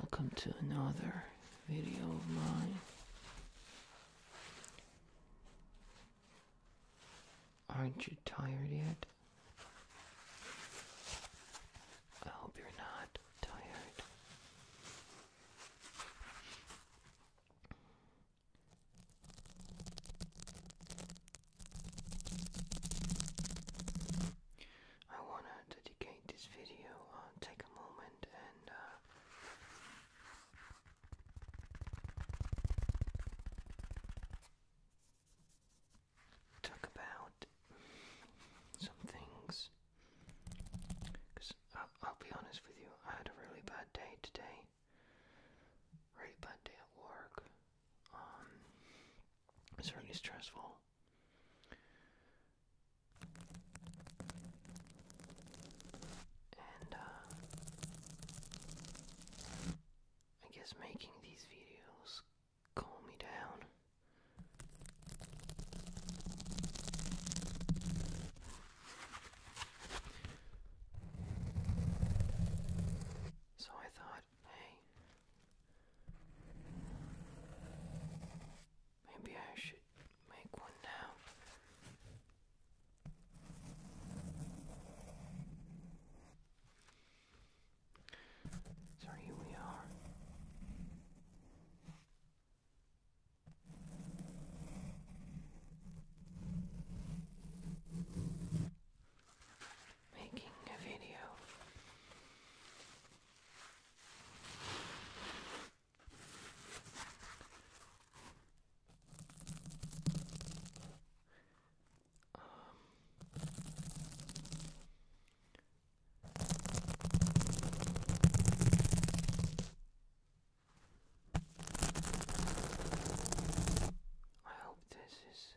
Welcome to another video of mine. Aren't you tired yet? I hope you're not tired. I want to dedicate this video, uh, take a moment and uh, talk about some things. Because I'll, be honest with you, I had a really bad day today. Really bad day at work. Um, it's really stressful. And uh, I guess making these videos calm me down. So I thought, hey, Maybe I should make one now. So here we are. Making a video um, I hope this is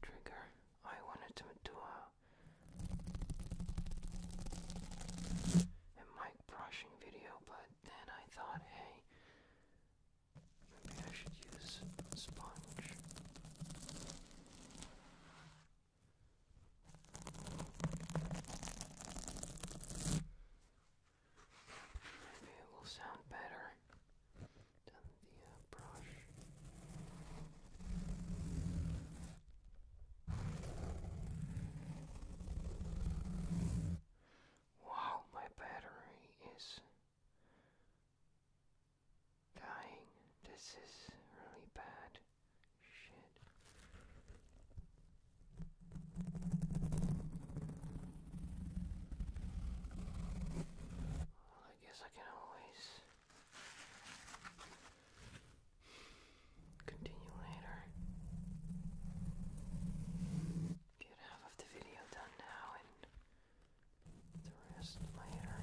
trigger. I wanted to do a, mic brushing video, but then I thought, hey, maybe I should use a sponge. Maybe it will sound better done the uh, brush. Wow, my battery is dying. This is really bad. Shit. Well, I guess I can always continue later. Get half of the video done now and the rest later.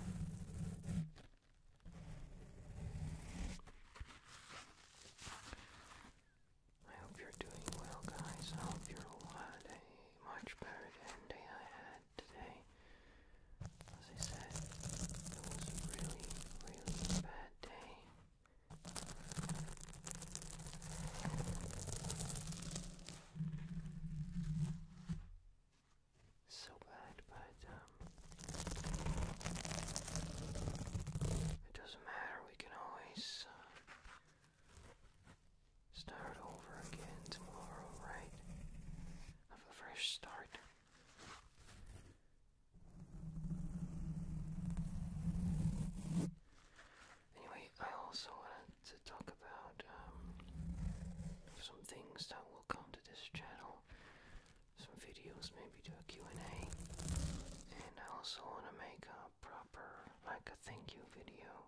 I hope you're doing well, guys. I hope you're alive much better than the day I had today. As I said, it was a really, really bad day. So bad, but um, it doesn't matter. We can always uh, Start over again tomorrow, right? Have a fresh start. Anyway, I also wanted to talk about um, some things that will come to this channel, some videos, maybe do a and a and I also want to make a proper, like a thank you video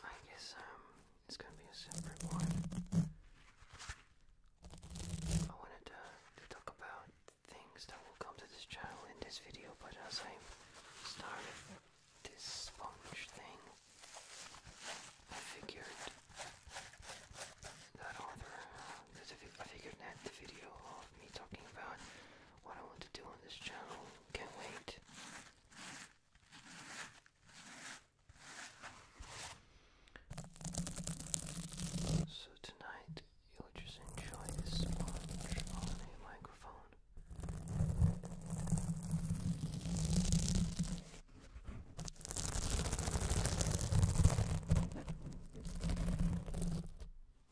I guess um it's gonna be a separate one. I wanted to, talk about things that will come to this channel in this video, but as I started this sponge thing, I figured that other, I figured that the video of me talking about what I want to do on this channel can wait so tonight you'll just enjoy this sponge on a microphone.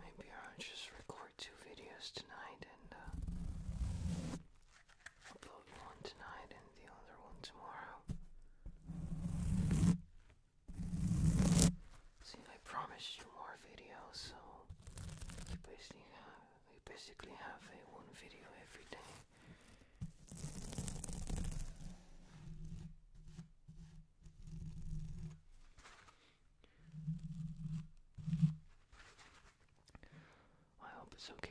Maybe I'll just record two videos tonight. Uh, upload one tonight and the other one tomorrow. See, I promised you more videos, so you basically have you basically have a one video every day. I hope it's okay.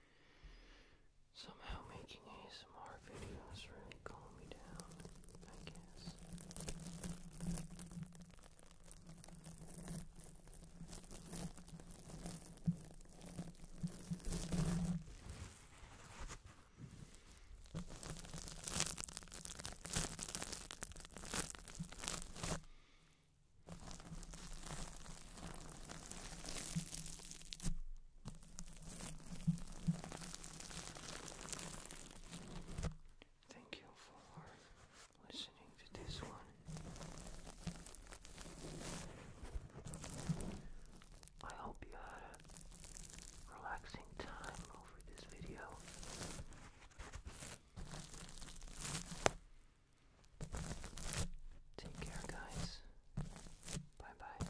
Somehow making ASMR videos really calm me down, I guess. Thank you for listening to this one. I hope you had a relaxing time over this video. Take care, guys. Bye bye.